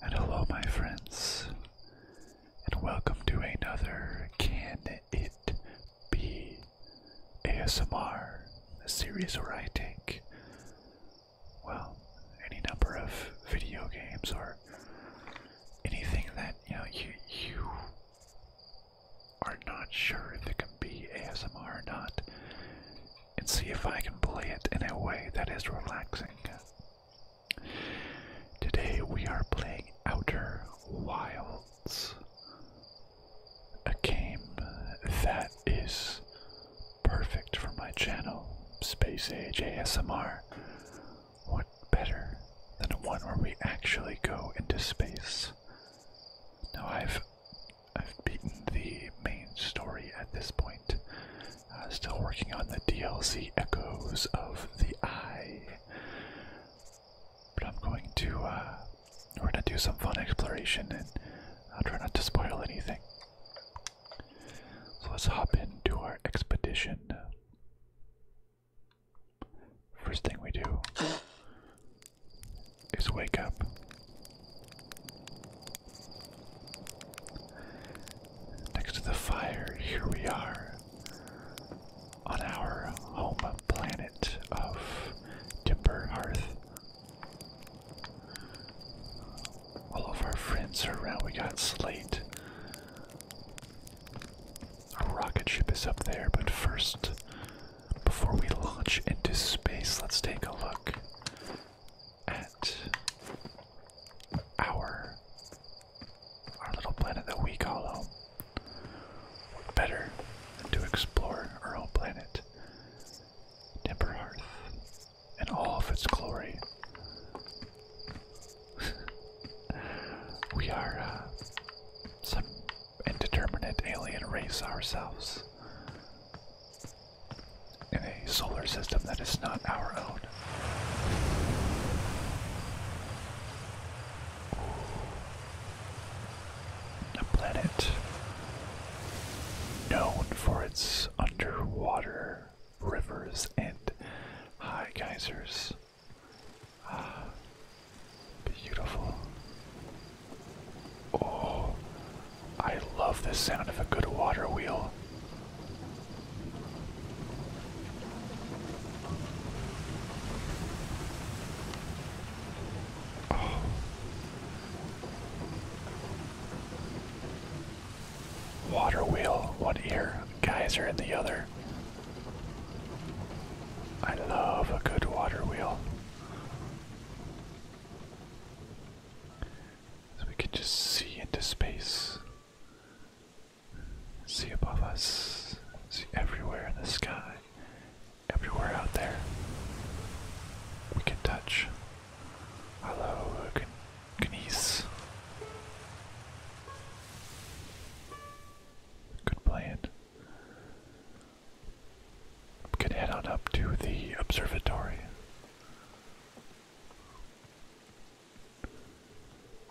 and hello, my friends, and welcome to another Can It Be ASMR, a series where I take, well, any number of video games or anything that, you know, you are not sure if it can be ASMR or not, and see if I can play it in a way that is relaxing. Today we are playing Outer Wilds, a game that is perfect for my channel, Space Age ASMR. What better than one where we actually go into space? Now I've I've beaten the main story at this point, uh, still working on the DLC Echoes of the Eye. But I'm going to, uh, we're going to do some fun exploration and I'll try not to spoil anything. So let's hop into our expedition. First thing we do is wake up next to the fire, here we are on our home planet of Timber Earth. All of our friends are around. We got Slate. Our rocket ship is up there, but first, before we launch into space, let's take a look at our our little planet that we call home. What better than to explore our own planet, Timber Hearth, all of its glory? we are uh, some indeterminate alien race ourselves in a solar system that is not our own. A planet known for its underwater rivers and high geysers. Ah, beautiful. Oh, I love the sound of a good water wheel. Water wheel, one ear, geyser in the other. I love a good water wheel. we can just see into space see above us, see everywhere in the sky, everywhere out there. We can touch. Hello, can Ganees. Good plan. We can head on up to the observatory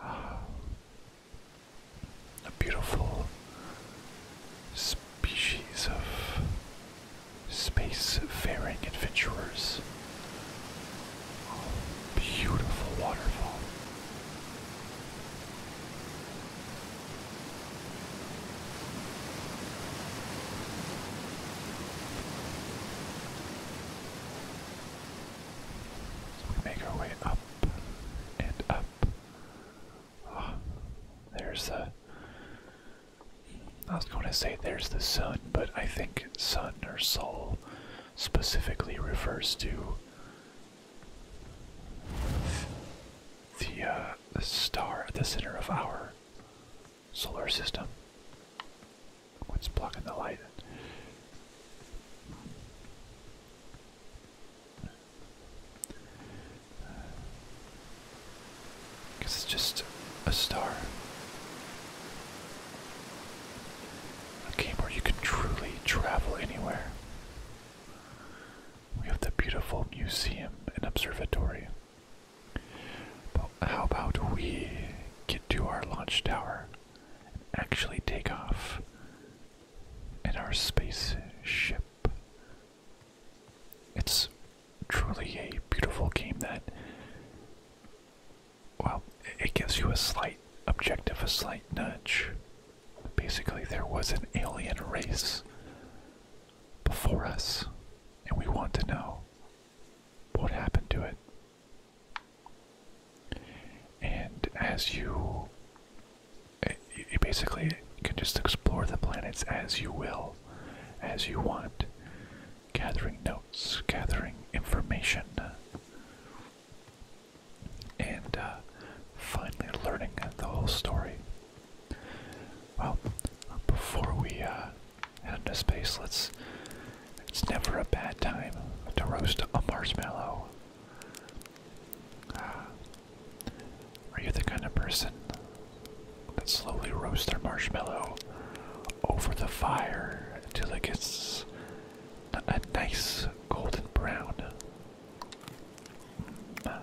a beautiful species of space-faring adventurers. beautiful waterfall we make our way up and up. Oh, there's the. I was going to say there's the sun, but I think sun or sol specifically refers to the uh, star at the center of our solar system. What's blocking the light? Because it's just a star. A game where you can truly travel anywhere. We have the beautiful museum and observatory. how about we get to our launch tower actually take off in our spaceship. It's truly a beautiful game that, well, it gives you a slight objective, a slight nudge. Basically, there was an alien race before us, and we want to know what happened to it. And as eh, you, you basically can just explore the planets as you will, as you want, gathering notes, gathering information, and uh, finally learning the whole story. Well, before we uh, head into space. Let's. It's never a bad time to roast a marshmallow. Ah. Are you the kind of person that slowly roasts their marshmallow over the fire until it gets a nice golden brown? Mm.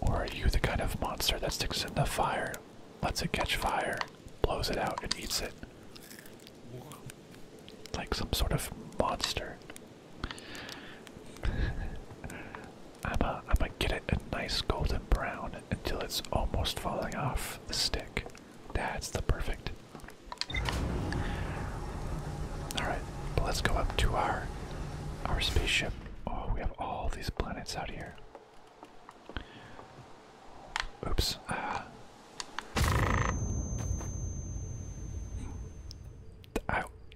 Or are you the kind of monster that sticks in the fire, lets it catch fire, blows it out, and eats it? like some sort of monster. I'ma am going get it a nice golden brown until it's almost falling off the stick. That's the perfect. Alright, but let's go up to our our spaceship. Oh, we have all these planets out here. Oops. Uh,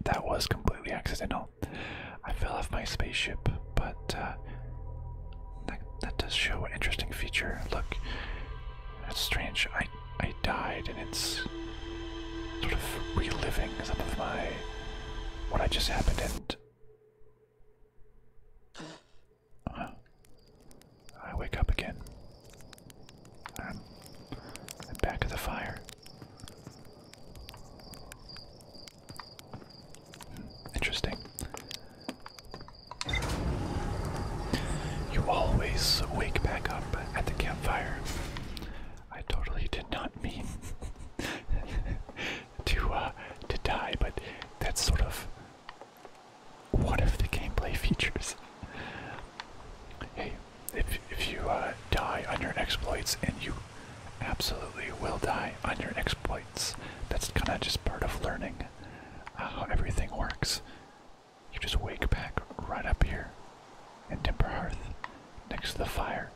that was completely accidental. I fell off my spaceship, but uh, that, that does show an interesting feature. Look, that's strange. I I died, and it's sort of reliving some of my what I just happened I wake up again. I'm, back at the fire. Hmm, interesting. You always wake back up at the campfire. I totally did not mean to uh, to die, but that's sort of what if the gameplay features. hey, if if you uh, die on your exploits, and you absolutely will die on your exploits, that's kind of just part of learning uh, how everything works. You just wake back right up here in Timber Hearth, next to the fire.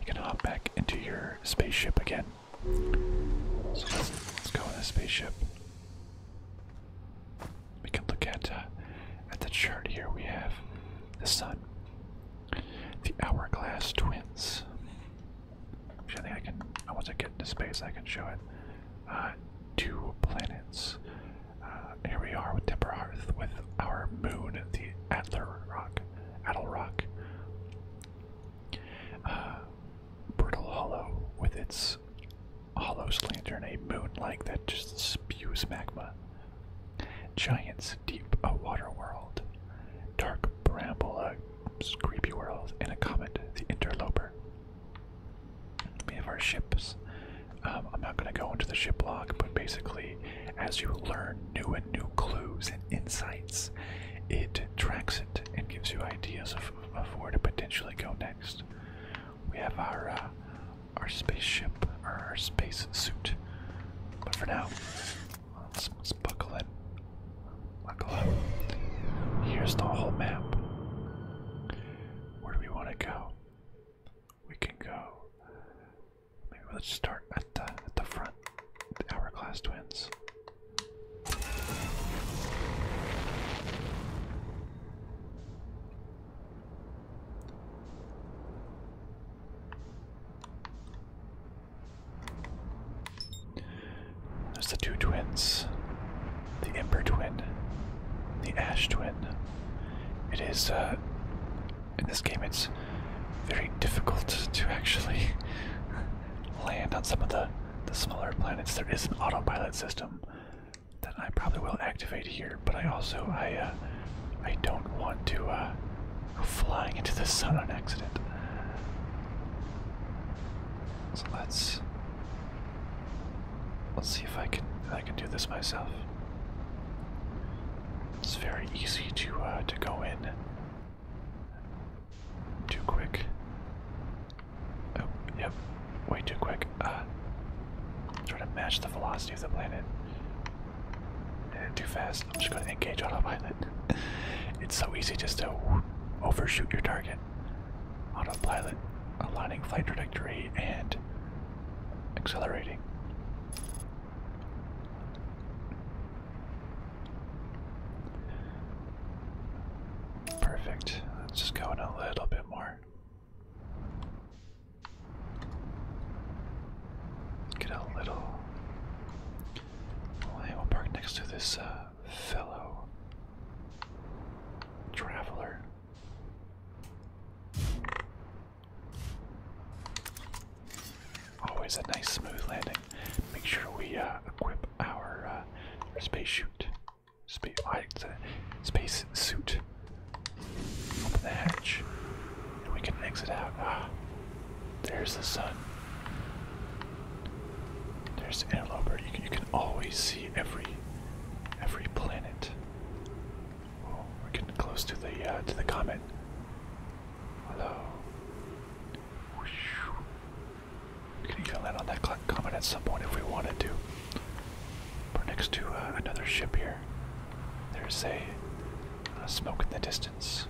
You can hop back into your spaceship again so let's, go in the spaceship. We can look at uh, at the chart here. We have the sun, the hourglass twins. Actually, I think I can. Once I get into space, I can show it. Uh, two planets. Uh, here we are with Temper with our moon, the Adler Rock, Adel Rock. Brittle Hollow with its Hollow's Lantern, a moon like that just spews magma. Giants Deep, a water world. Dark Bramble, a creepy world. And a comet, the Interloper. We have our ships. Um, I'm not going to go into the ship log, but basically, as you learn new and new clues and insights, it tracks it and gives you ideas of of to potentially go next. We have our uh, our spaceship or our space suit, but for now, let's, let's buckle in. Buckle up. Here's the whole map. Where do we want to go? We can go. Maybe let's start at the at the front. The hourglass twins. There's the two twins the Ember twin, the Ash twin. It is, uh, in this game, it's very difficult to actually land on some of the, the smaller planets. There is an autopilot system that I probably will activate here, but I also I uh, I don't want to uh, go flying into the sun on accident. So let's let's see if I can I can do this myself. It's very easy to uh, to go in too quick. Oh, yep. Way too quick. Uh, try to match the velocity of the planet. Eh, too fast. I'm just going to engage autopilot. it's so easy just to overshoot your target. Autopilot, aligning flight trajectory, and accelerating. Perfect. Let's just go in a little bit more. Get a little. hey, we'll park next to this uh, fellow traveler. Always a nice smooth landing. Make sure we uh, equip our uh, space suit. Space, suit. Open the hatch, and we can exit out. Ah, there's the sun. There's Anteloper. You can, you can always see every every planet. Oh, we're getting close to the uh, to the comet. Hello. We could even land on that comet at some point if we wanted to. We're next to uh, another ship here. There's a smoke in the distance,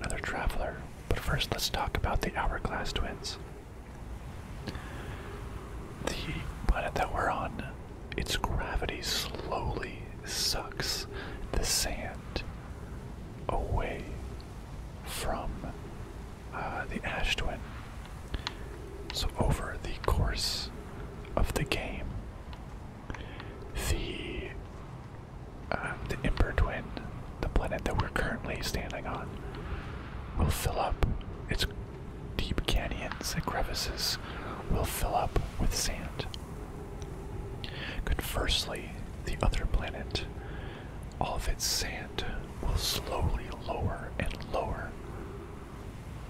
another traveler. But first, let's talk about the Hourglass Twins. The planet that we're on, its gravity slowly sucks the sand away from uh, the Ash Twin. So, over the course of the game, the um, the Ember the planet that we're currently standing on, will fill up its deep canyons and crevices. Will fill up with sand. Conversely, the other planet all of its sand will slowly lower and lower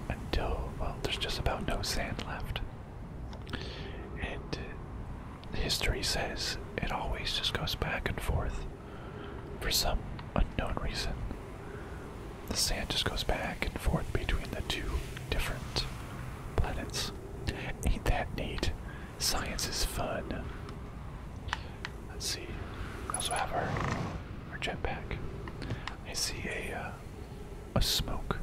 until, well, there's just about no sand left. And history says it always just goes back and forth for some unknown reason. The sand just goes back and forth between the two different planets. Ain't that neat? Science is fun. Let's see. We also have our jetpack. I see a uh, a smoke,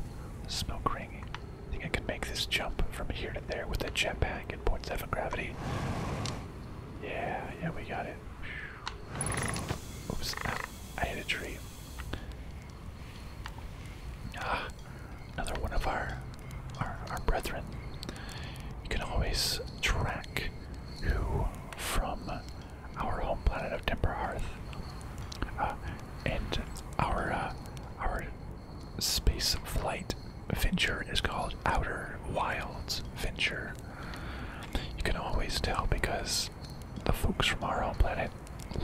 smoke ring. I think I can make this jump from here to there with a jetpack and 0.7 gravity. Yeah, yeah, we got it. Oops, ah, I hit a tree. Ah, another one of our our, brethren. You can always track who from our home planet of Timber Earth uh, and our uh, our space flight venture is called Outer Wilds Venture. You can always tell because the folks from our home planet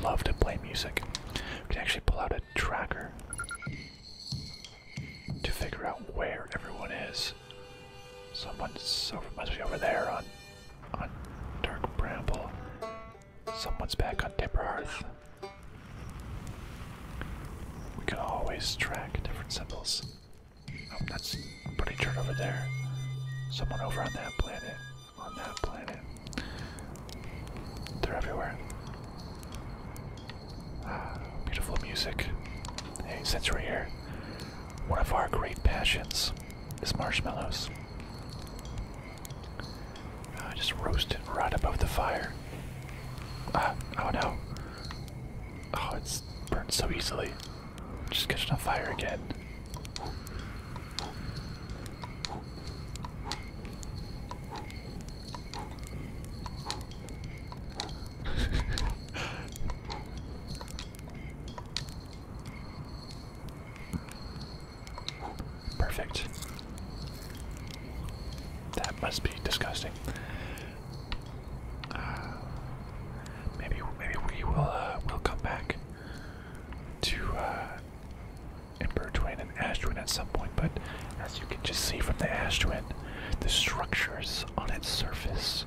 love to play music. We can actually pull out a tracker to figure out where everyone is. Someone's over must be over there on on Dark Bramble. Someone's back on Timber Hearth. We can always track different symbols. Oh, that's pretty dirt over there. Someone over on that planet. On that planet. They're everywhere. Ah, beautiful music. Hey, since we're here, one of our great passions is marshmallows. I just roast it right above the fire. Ah, oh no. Oh, it's burned so easily. Just catching on fire again. Perfect. That must be disgusting. Uh, maybe maybe we will uh, will come back to uh, Twin and Ash Twin at some point, but as you can just see from the Ash Twin, the structures on its surface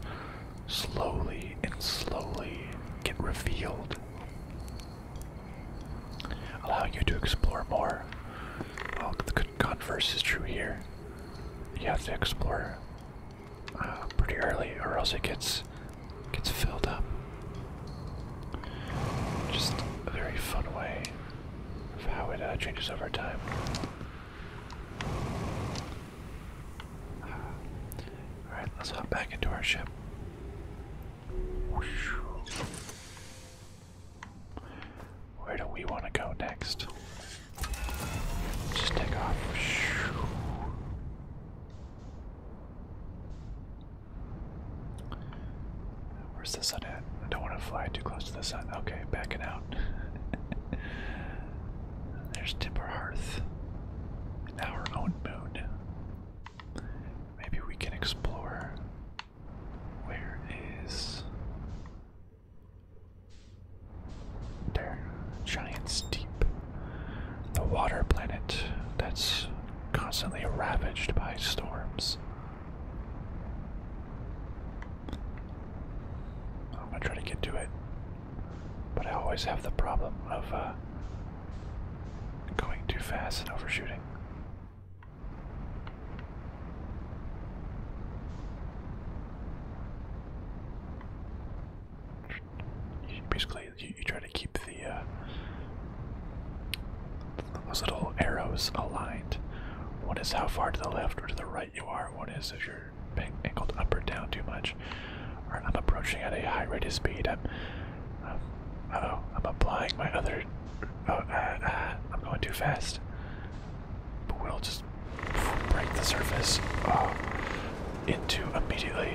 slowly and slowly get revealed, allowing you to explore more. Well, the converse is true here. You have to explore uh, pretty early, or else it gets gets filled up. Just a very fun way of how it uh, changes over time. Alright, let's hop back into our ship. Where do we want to go next? Just take off. Where's the sun at? I don't want to fly too close to the sun. Okay, backing out. There's Timber Hearth. And our own moon. Maybe we can explore. Where is. There. Giant's Deep. The water planet that's constantly ravaged by storms. I'm gonna try to get to it, but I always have the problem of uh, going too fast and overshooting. basically, you, try to keep the uh, those little arrows aligned. What is how far to the left or to the right? you are, What is if you're being angled up or down too much. Alright, I'm approaching at a high rate of speed. I'm, oh, I'm applying my other. Oh, I'm going too fast. But we'll just break the surface into immediately.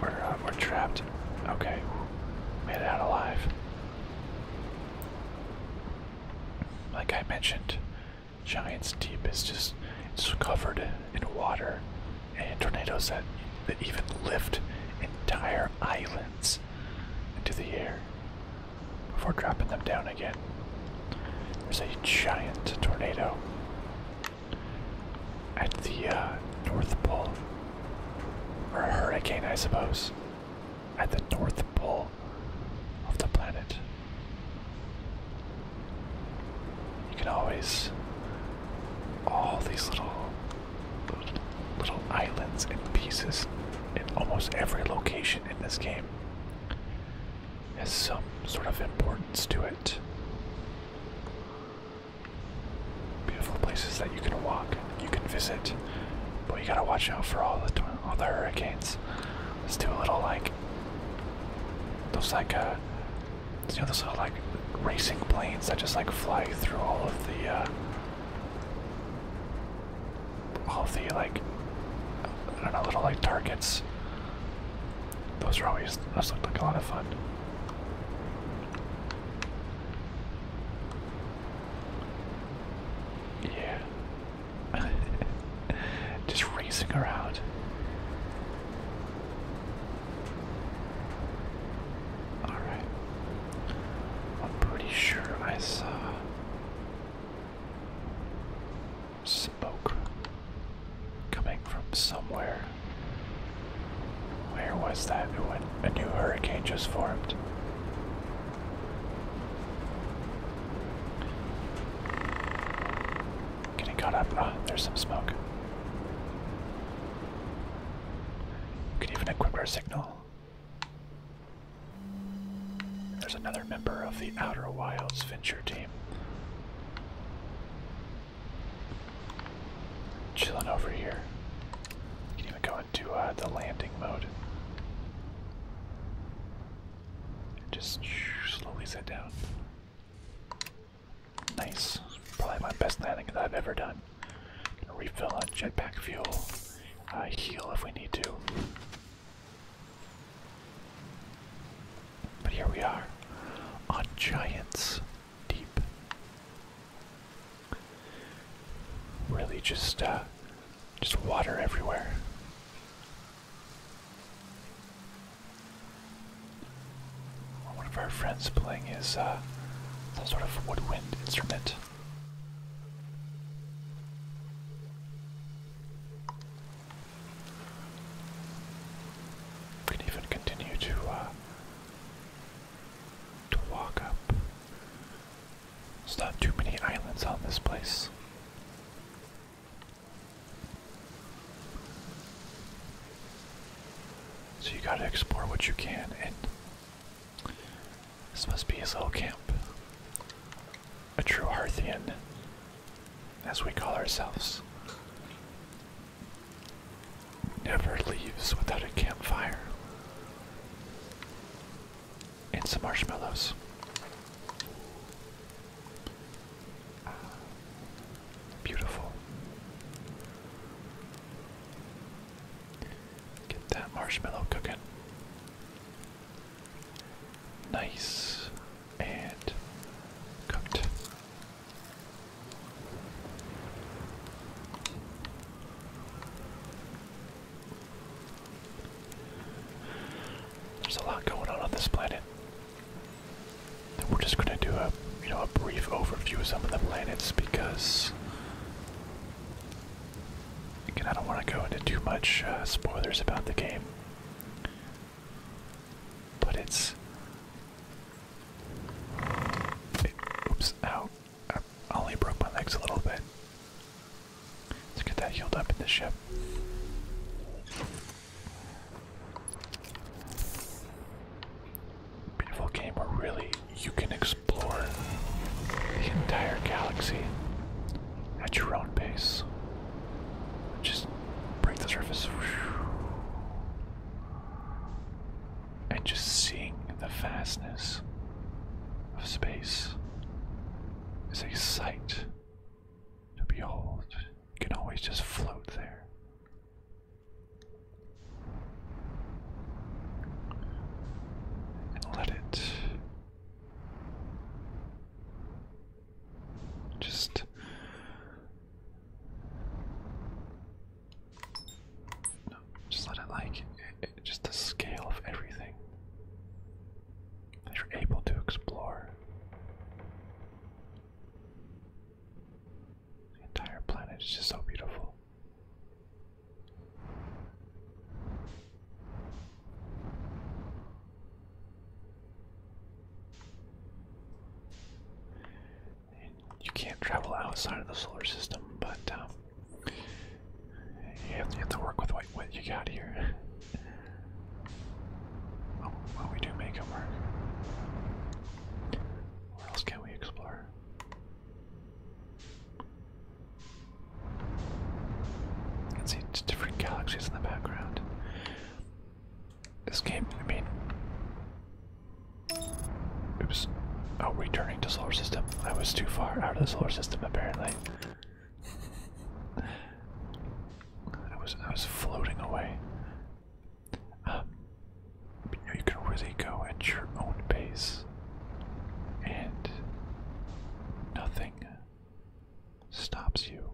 We're, we're trapped. Okay, made it out alive. Like I mentioned, Giants Deep is just covered in water and tornadoes that, that even lift entire islands into the air before dropping them down again. There's a giant tornado at the uh, North Pole, or a hurricane, I suppose at the north pole of the planet. You can always all these little little, islands and pieces in almost every location in this game has some sort of importance to it. Beautiful places that you can walk, you can visit, but you gotta watch out for all the all the hurricanes. Let's do a little like those like uh, you know those little like racing planes that just like fly through all of the uh, all the like I don't know little like targets. Those are always those look like a lot of fun. Yeah. Just racing around. Alright. I'm pretty sure I saw smoke coming from somewhere. Where was that? When a new hurricane just formed. Getting caught up. Ah, there's some smoke. Can could even equip our signal. There's another member of the Outer Wilds Venture team. Chilling over here. can even go to uh, the landing mode. just slowly sit down. Nice. Probably my best landing that I've ever done. refill on jetpack fuel. heal if we need to. But here we are on Giants Deep. Really just uh, just water everywhere. One of our friends playing his uh, sort of woodwind instrument. We even continue to uh, to walk up there's not too many islands on this place. So you gotta explore what you can, and this must be his little camp. A true Harthian, as we call ourselves never leaves without a campfire and some marshmallows. Ah, beautiful. Get that marshmallow cooking. Nice and cooked. There's a lot going on on this planet. we're just gonna do a you know a brief overview of some of the planets because again I don't want to go into too much uh, spoilers about the game. But it's oops out. I only broke my legs a little bit. Let's get that healed up in the ship. Beautiful game where really you can explore the entire galaxy at your own pace. Just break the surface and just seeing the vastness of space is a sight to behold. You can always just float there. And let it just just let it like it, just the scale of everything that you're able to explore. The entire planet is just so beautiful. You can't travel outside of the solar system, but um, you have, to, work with what, you got here. Oh, well, we do make it work. Where else can we explore? You can see different galaxies in the background. This game, I mean, Oops. Oh, returning to solar system. I was too far out of the solar system, apparently. I was I was floating away. Um, you can really go at your own pace, and nothing stops you.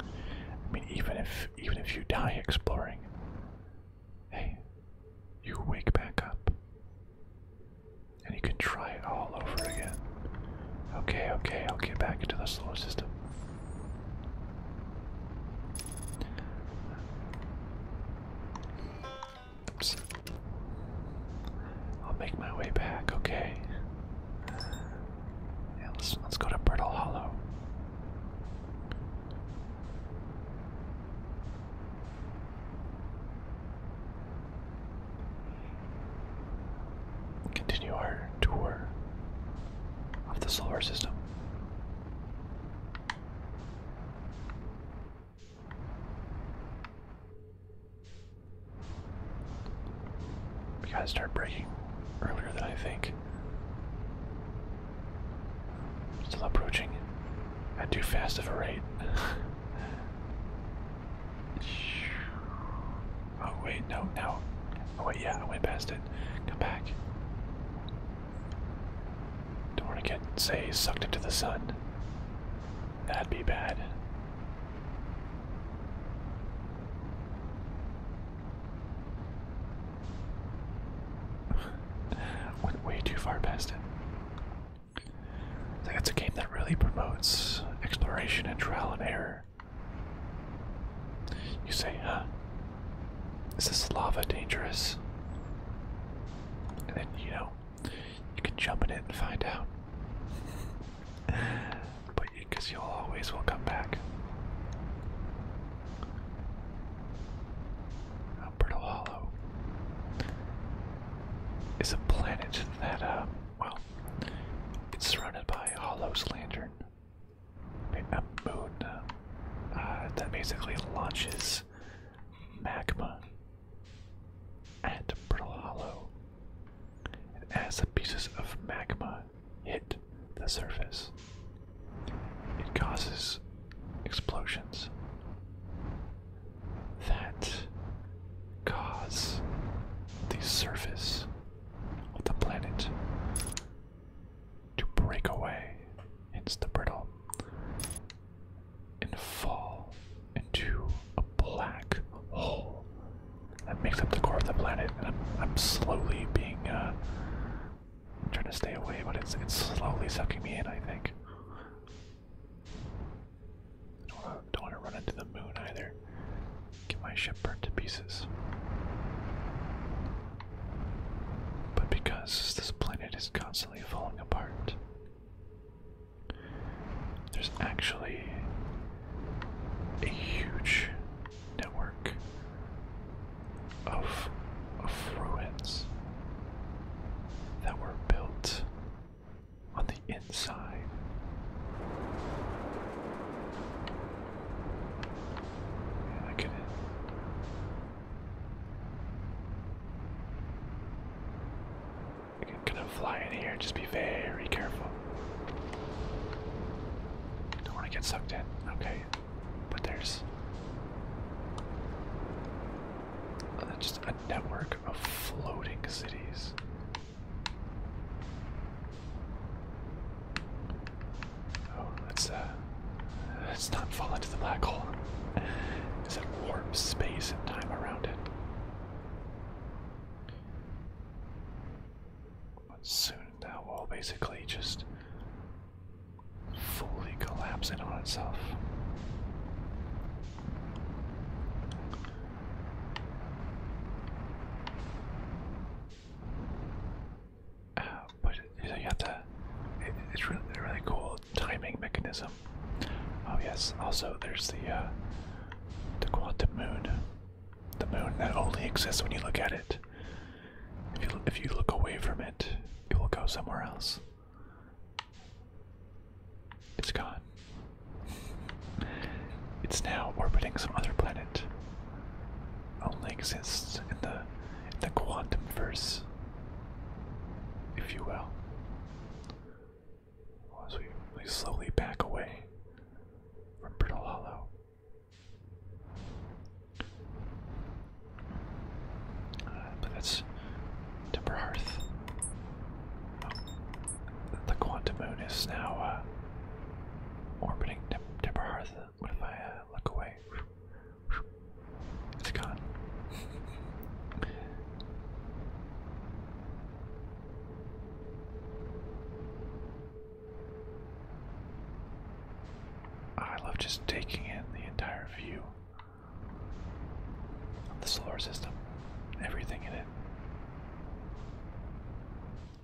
I mean, even if even if you die exploring, Hey, you wake back up. And you can try it all over again. Okay, okay, I'll get back into the solar system. I'll make my way back, okay? Yeah, let's, let's go to Brittle Hollow. Continue our tour of the solar system. We gotta start breaking earlier than I think. Still approaching at too fast of a rate. oh wait, no, no. Oh wait, yeah, I went past it. Come back. Don't want to get, say, sucked into the sun. That'd be bad. Went way too far past it. I think it's a game that really promotes exploration and trial and error. You say, Is this lava dangerous? And then, you know, you can jump in it and find out. but because you, always will come back. Alberto Hollow is a planet that, uh, well, it's surrounded by Hollow's Lantern, a moon uh, that basically launches magma at Alberto Hollow. And as the pieces of magma hit the surface, it causes explosions that cause the surface of the planet to break away, hence the brittle, and fall into a black hole that makes up the core of the planet. And I'm, slowly being uh, I'm trying to stay away, but it's it's slowly sucking me in, I think. don't wanna run into the moon either. Get my ship burnt to pieces. But because this planet is constantly falling apart, there's actually a huge network of, of that were built on the inside. look at it. I can kind of fly in here, just be very careful. Don't want to get sucked in. Okay. But there's uh, just a network of floating cities. Oh, uh, let's uh, let not fall into the black hole. Is that warp space and time around it? But soon that will basically just fully collapsing on itself. Uh, but you have to. it's really, really cool timing mechanism. Oh yes. Also, there's the uh, the quantum moon, the moon that only exists when you look at it. if you look away from it, it will go somewhere else. It's gone. It's now orbiting some other planet. Only exists in the the quantum verse, if you will. As we, we slowly back away from Brittle Hollow. Uh, but that's Timber Hearth. Oh. The Quantum Moon is now uh, orbiting Tim Hearth. What if I uh, look away? It's gone. I love just taking in the entire view. The solar system, everything in it.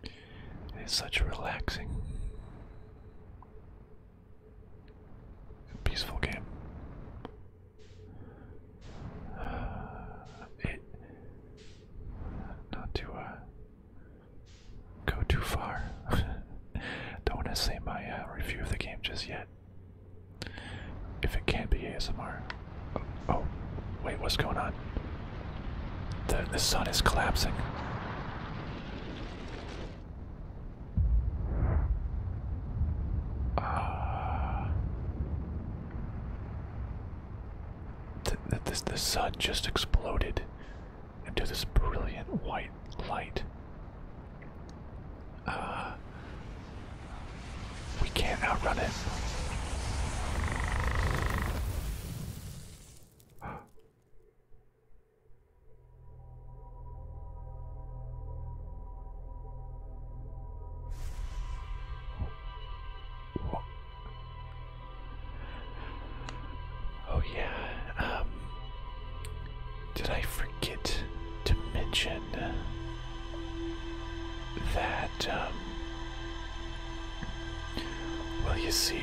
It is such a relaxing, peaceful game. Uh, not to uh, go too far. Don't want to say my uh, review of the game just yet. If it can't be ASMR. Oh, oh, wait, what's going on? The, the sun is collapsing. Uh, th th the sun just exploded into this brilliant white light. Uh, we can't outrun it. Oh yeah. Um, did I forget to mention that? Um, well, you see,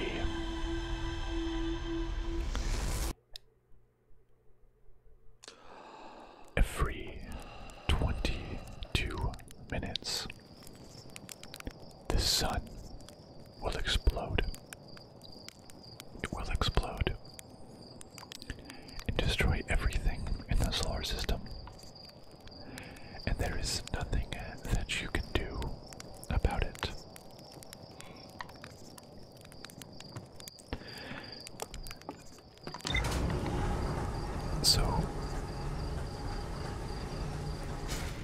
every 22 minutes, the sun will explode. It will explode and destroy everything in the solar system. And there is nothing that you can do about it. So,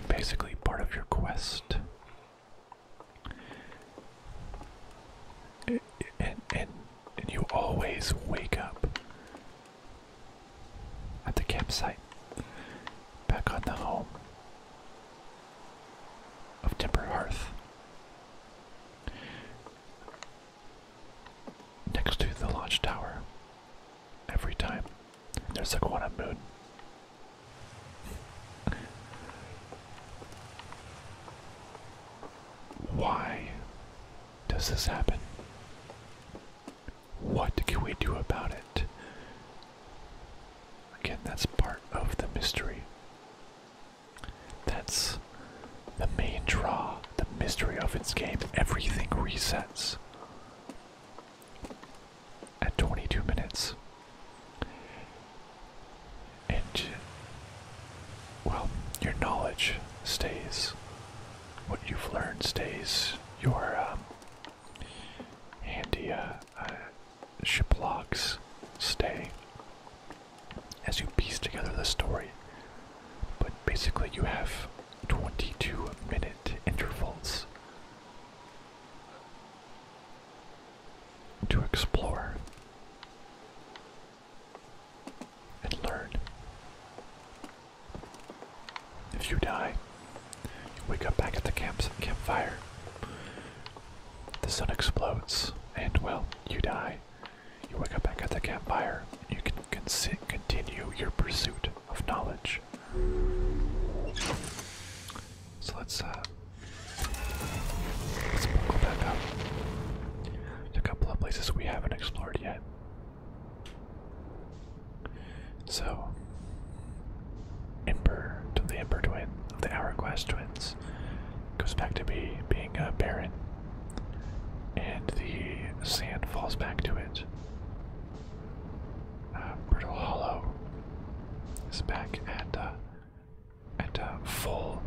basically, part of your quest and, and, and you always wake up at the campsite, back on the home of Timber Hearth, next to the launch tower. Every time there's a one moon. Why does this happen? What can we do about it? Again, that's part of the mystery. That's the main draw, the mystery of its game. Everything resets at 22 minutes. And, well, your knowledge stays. What you've learned stays. Your um, handy uh, uh, ship logs stay as you piece together the story. But basically, you have 22 minute intervals to explore and learn. If you die, you wake up back at the campfire. The sun explodes, and well, you die. You wake up back at the campfire. and You can continue your pursuit of knowledge. So let's uh let's buckle back up. There's a couple of places we haven't explored yet. So Emperor to the Emperor twin of the Hourglass twins goes back to be being a Baron, And the sand falls back to it. Uh, Brittle Hollow is back at uh, and uh, full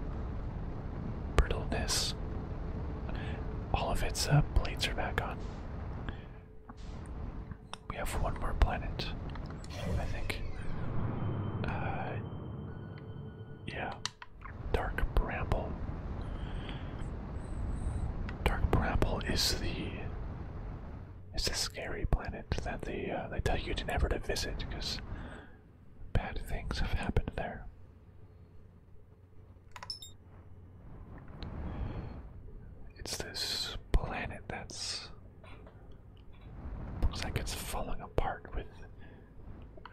brittleness. All of its uh, plates are back on. We have one more planet, I think. Uh, yeah, Dark Bramble. Dark Bramble is the it's a scary planet that they uh, they tell you to never to visit because bad things have happened there. It's this planet that's looks like it's falling apart with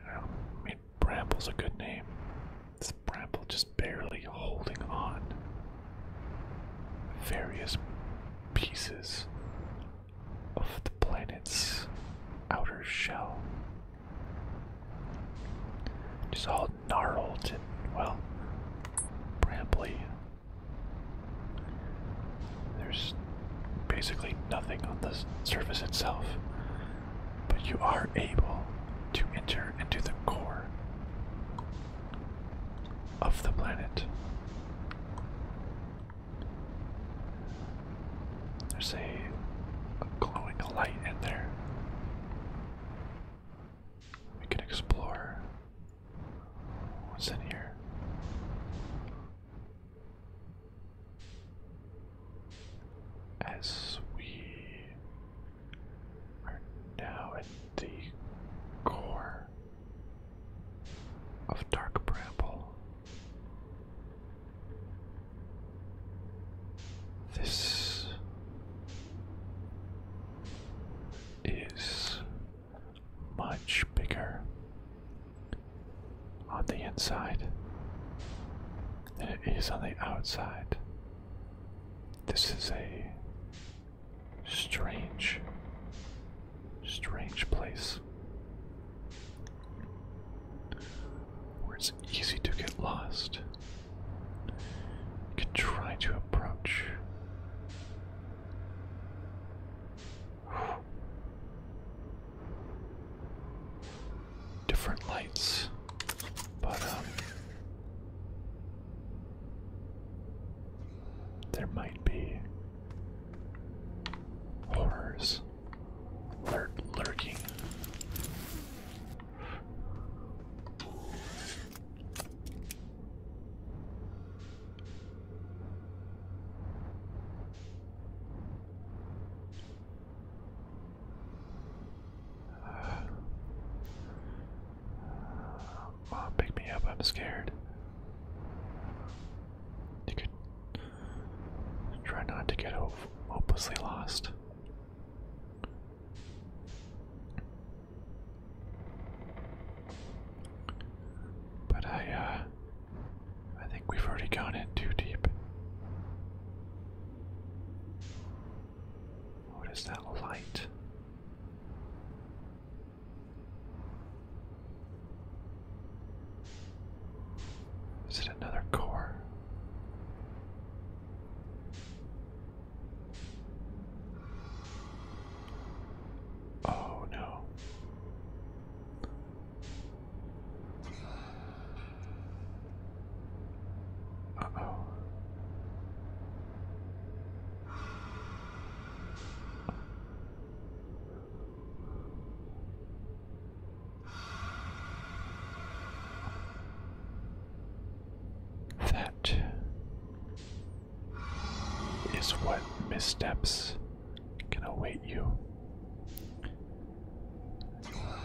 I mean Bramble's a good name. This Bramble just barely holding on. Various pieces of the planet's outer shell. Just all gnarled and, well, brambly. There's basically nothing on the surface itself, but you are able to enter into the core of the planet. There's a, glowing light in there. We can explore what's in here. As we are now at the core of Dark Bramble, this is much bigger on the inside than it is on the outside. This is a strange strange place where it's easy to get lost. can try to approach. Different lights, but um, there might be Horrors lur lurking. Mom, pick me up, I'm scared. Try not to get hopelessly lost. But I, uh, I think we've already gone in too deep. What is that light? Is it another core? Oh no. oh. That is what missteps can await you.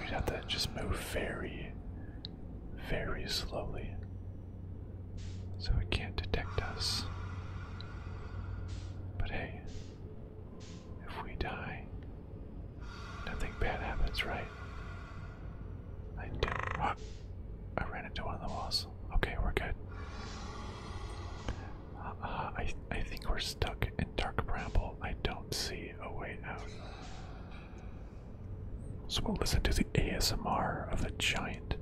we have to just move very, very slowly so it can't detect us. But hey, if we die, nothing bad happens, right? Ah, I ran into one of the walls. Okay, we're good. Uh, I, I think we're stuck in Dark Bramble. I don't see a way out. So we'll listen to the ASMR of the giant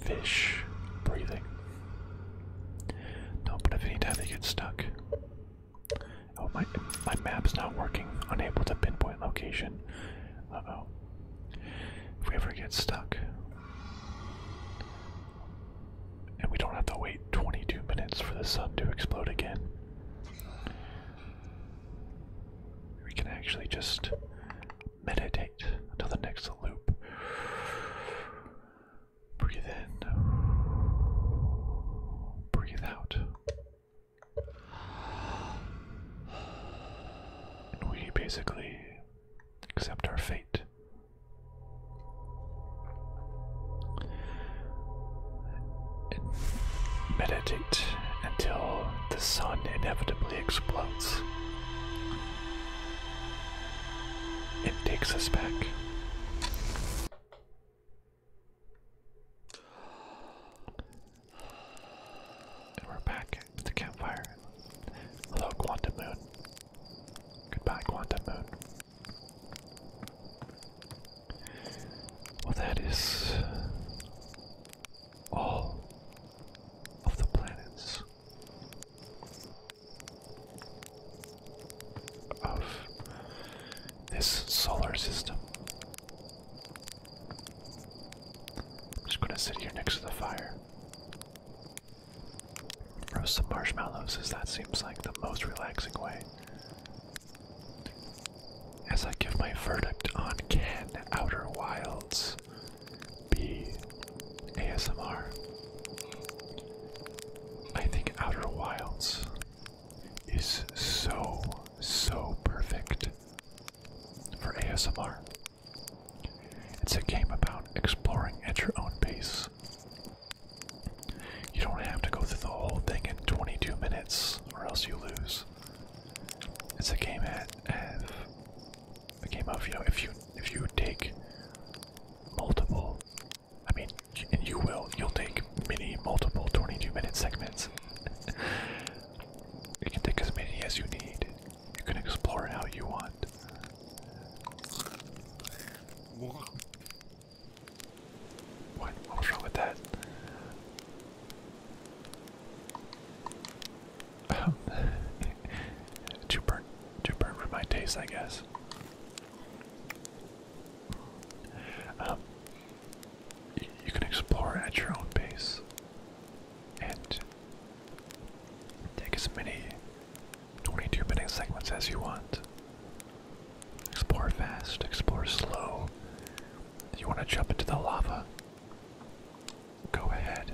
fish breathing. No, but if any time they get stuck. Oh, my my map's not working. Unable to pinpoint location. oh. If we ever get stuck. And we don't have to wait 22 minutes for the sun to explode again. We can actually just meditate until the next loop. Breathe in. Breathe out. we basically accept our fate. meditate until the sun inevitably explodes. It takes us back. And we're back at the campfire. Hello, Quantum Moon. Goodbye, Quantum Moon. Well, that is all of the planets of this solar system. just gonna sit here next to the fire. Roast some marshmallows, as that seems like the most relaxing way. As I give my verdict on Ken Outer Wilds be ASMR. I think Outer Wilds is so, so perfect for ASMR. It's a game about exploring at your own pace. You don't have to go through the whole thing in 22 minutes, or else you lose. It's a game at, at the game of you know if you if you take multiple, I mean, and you will, you'll take many multiple 22-minute segments. you can take as many as you need. You can explore how you want. What? What wrong with that? too burnt, too burnt for my taste, I guess. Um, you can explore at your own pace and take as many 22 minute segments as you want. Explore fast, explore slow. you want to jump into the lava, go ahead.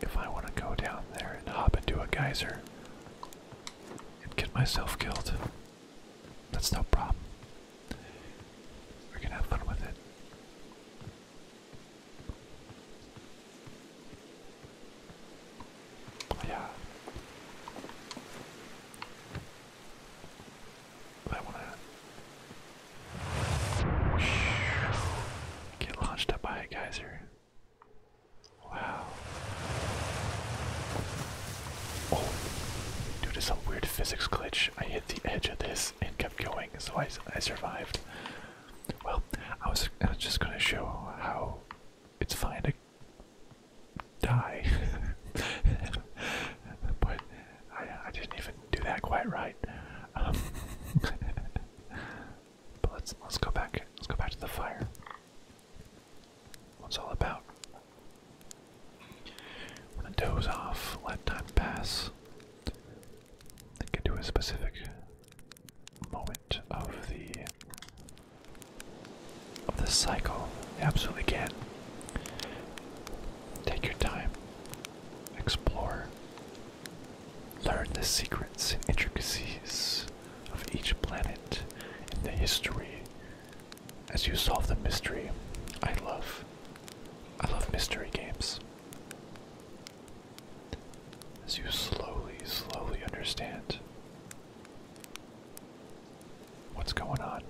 If I want to go down there and hop into a geyser and get myself killed, that's no problem. We can have fun with it. yeah. I want Get launched up by a geyser. Wow. Oh, due to some weird physics glitch, I hit the edge of this and kept going, so I, I survived. Well, I was, just gonna show how it's fine to die, but I, I didn't even do that quite right. Um, but let's let's go back. Let's go back to the fire. What's all about? When off, let time pass. Think into a specific moment of the of the cycle. absolutely can. Take your time. Explore. Learn the secrets and intricacies of each planet in the history as you solve the mystery. I love. I love mystery games. As you slowly, slowly understand what's going on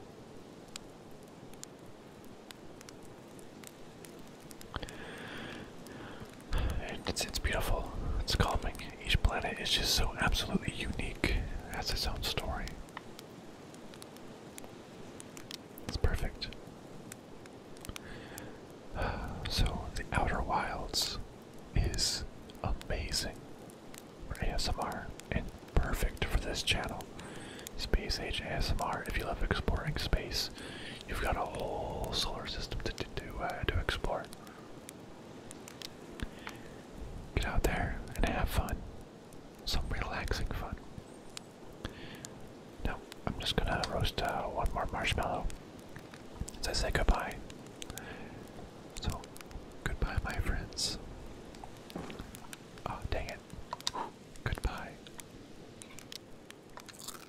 it's, it's beautiful. It's calming. Each planet is just so absolutely unique. Has its own story. It's perfect. So, the Outer Wilds is amazing for ASMR and perfect for this channel. Space Age ASMR. If you love exploring space, You've got a whole solar system to, to, uh, to, explore. Get out there and have fun. Some relaxing fun. Now, I'm just gonna roast uh, one more marshmallow as I say goodbye. So, goodbye, my friends. Oh, dang it. Goodbye.